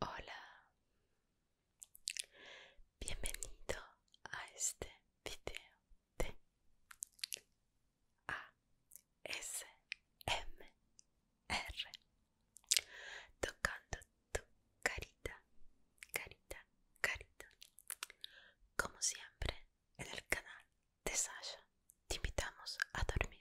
Hola, bienvenido a este video de ASMR tocando tu carita, carita, carita. Como siempre en el canal de Sasha te invitamos a dormir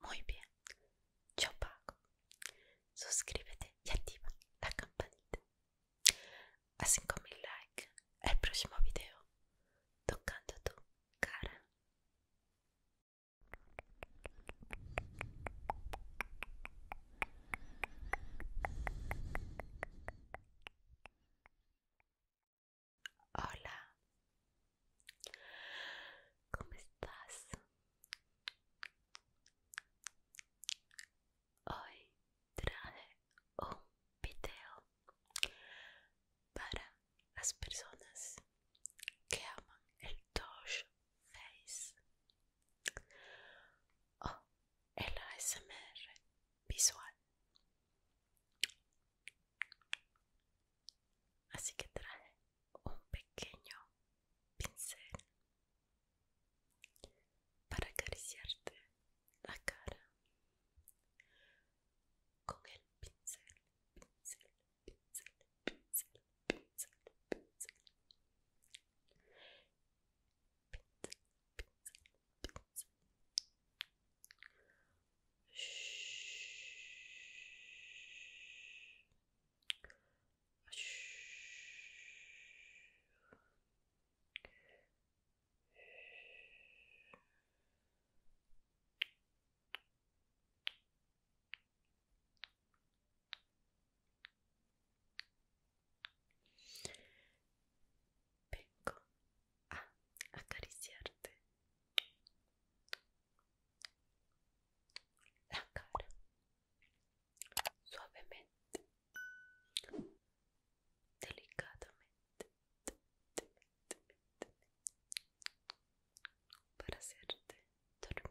muy bien, yo pago. Suscríbete y activa la campanita. A 5000 like. el próximo video, tocando tu cara. Hola, ¿cómo estás? Hoy traje un video para las personas que aman el Touch Face o el ASMR visual así que trae un pequeño pincel para acariciarte la cara con el pincel, pincel, pincel, pincel, pincel, pincel, pincel, pincel, pincel. Vengo a acariciarte la cara suavemente, delicadamente, para hacerte dormir,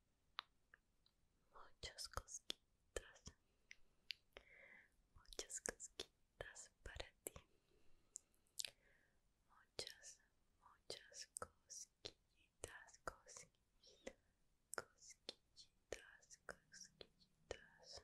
muchas cosquitas, muchas cosquitas para ti, muchas, muchas cosquillitas, cosquitas, cosquillitas, cosquillitas.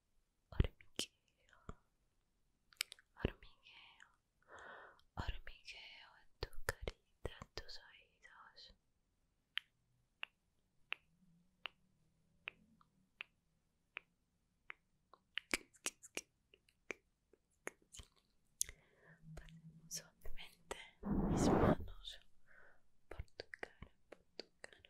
hormigueo, hormigueo, hormigueo en tu carita, en tus oídos. suavemente mis manos por tu cara, por tu cara,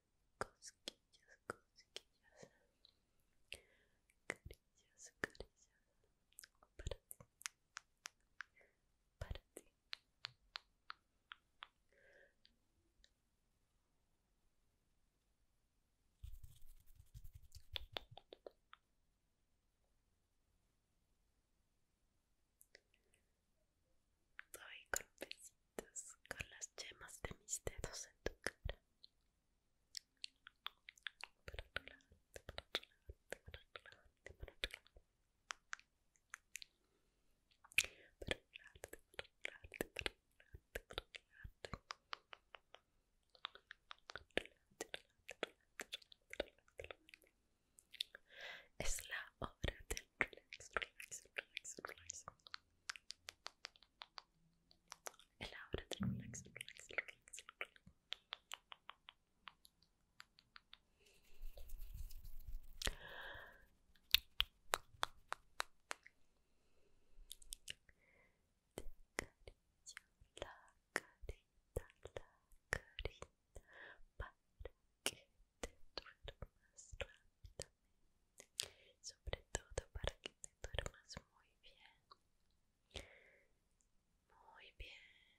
cosquillas, cosquillas, carillas, carillas, para ti, para ti. Doy con un besito con las yemas de mis dedos en tu cara es la obra del Elabora, relax, relax, relax. la carita, la carita para que te duermas sobre todo para que te duermas muy bien muy bien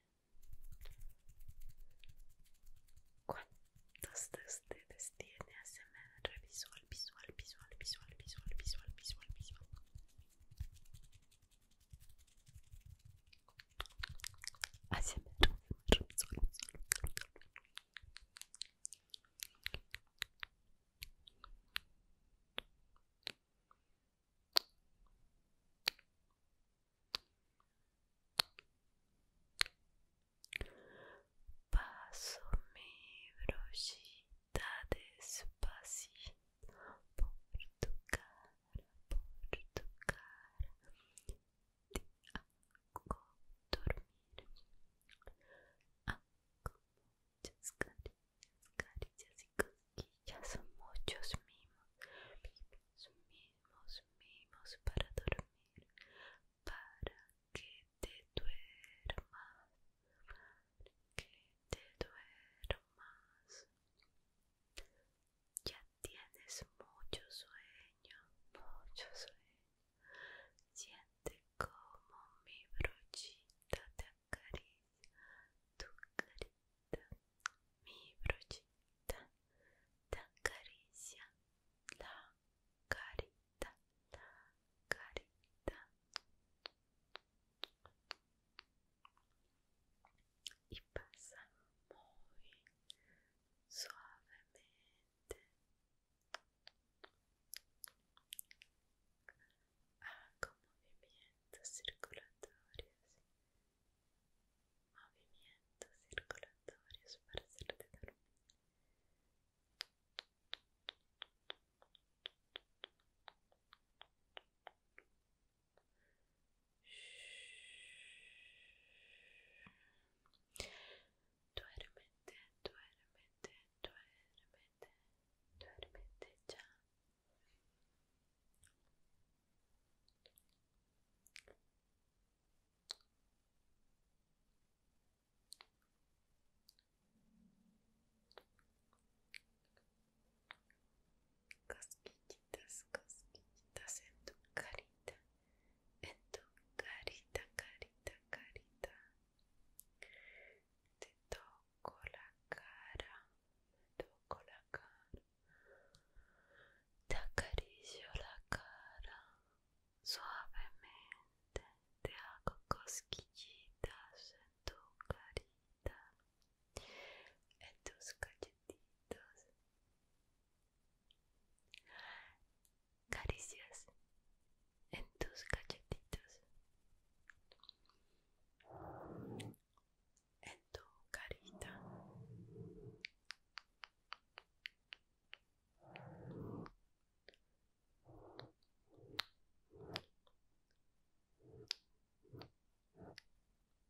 cuántos de ustedes tiene ASMR visual visual visual visual visual visual visual visual visual visual visual Paso mi brochita despacito por tu cara, por tu cara, hago dormir. Hago muchas cariñas, cariñas y cosquillas, muchos mimos, mimos, mimos, mimos para dormir, para que te duermas, que te duermas. Ya tienes mucho sueño, mucho sueño. Siente como mi brochita te acaricia tu carita. Mi brochita te acaricia la carita, la carita. Y pasa muy suavemente nuevamente hago movimientos circulatorios movimientos circulatorios para hacerte dormir Duerme, duerme, duerme, duerme ya. Cosquillitas, cosquillitas en tu carita en tu carita, carita, carita. Te toco la cara, te toco la cara. Te acaricio la cara suavemente, te hago cosquillitas en tu carita, en tus cachetitos. Caricias en tus cachetitos, en tu carita.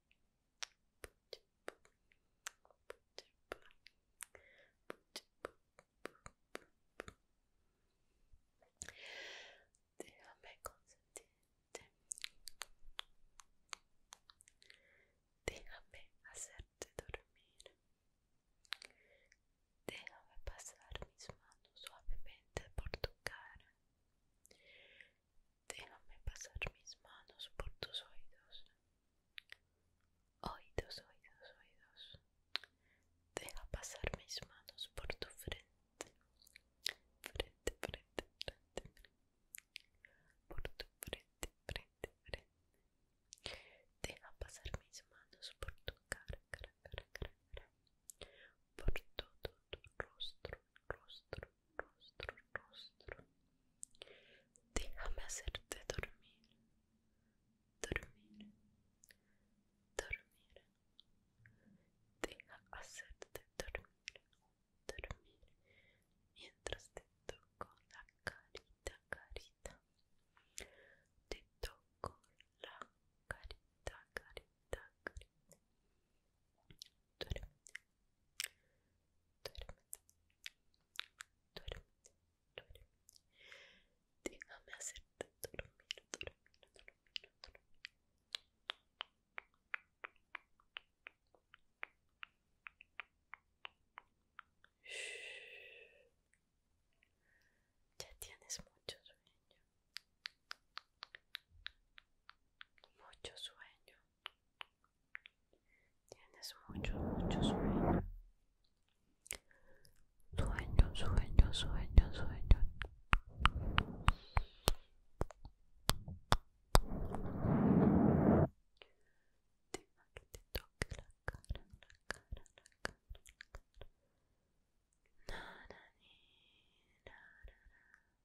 Déjame consentirte. Déjame hacerte dormir. Déjame pasar mis manos suavemente por tu cara. Déjame pasar mis manos por tus oídos. Oídos, oídos, oídos. Deja pasar mis manos por tu frente. Frente, frente, frente. Por tu frente, frente, frente. Deja pasar mis manos por tu cara, cara, cara, cara. cara. Por todo tu rostro, rostro, rostro, rostro. Déjame hacerte dormir, dormir, dormir. Deja hacerte dormir, dormir. Mientras te toco la carita, carita. Te toco la carita, carita, carita. Duérmete, duérmete, duérmete. Déjame hacerte dormir, dormir, dormir, Ya tienes mucho sueño. Mucho sueño. Tienes mucho, mucho sueño. Sueño, sueño, sueño, sueño. Deja que te toque la cara, la cara, la cara, la cara.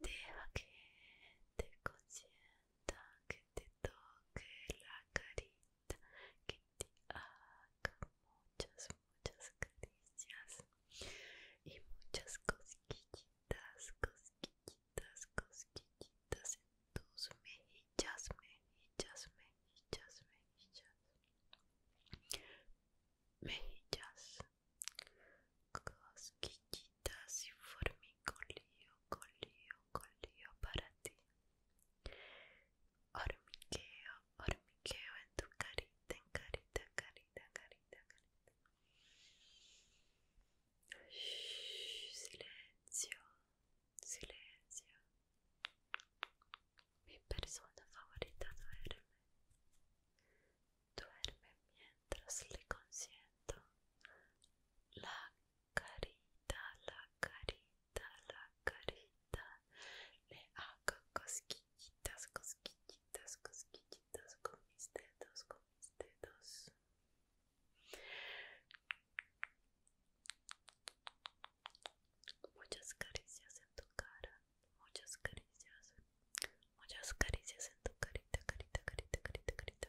Deja que te consienta, que te toque la carita, que te haga muchas, muchas caricias y muchas cosquillitas, cosquillitas, cosquillitas en tus mejillas, mejillas, mejillas, mejillas mejillas, cosquillitas y lío colío, colío para ti. Hormigueo, hormigueo en tu carita, en carita, carita, carita, carita. silencio, silencio. Mi persona favorita duerme. Duerme mientras le consiento. La carita, la carita, la carita. Le hago cosquillitas, cosquillitas, cosquillitas con mis dedos, con mis dedos. Muchas caricias en tu cara muchas caricias, muchas caricias en tu carita, carita, carita, carita, carita.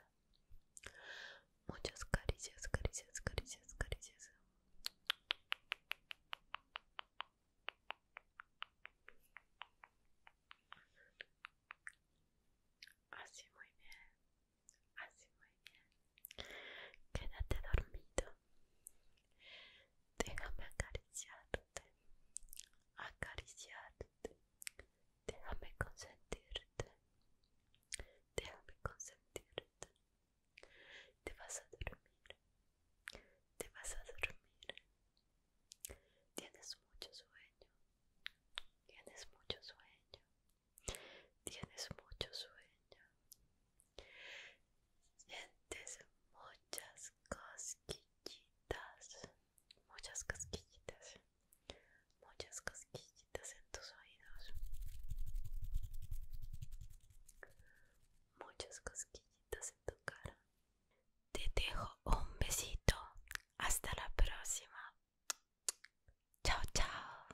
Muchas caricias, caricias, caricias, caricias. Así muy bien, así muy bien. Quédate dormido, Déjame acariciarte, acariciarte. Déjame consentirte, déjame consentirte. Te vas a dormir, te vas a dormir. Tienes mucho sueño, tienes mucho sueño, tienes mucho sueño. Sientes muchas cosquillitas, muchas cosquillitas, muchas cosquillitas en tus oídos. Muchas cosquillitas en tu cara. Te dejo un besito. Hasta la próxima. Chao, chao.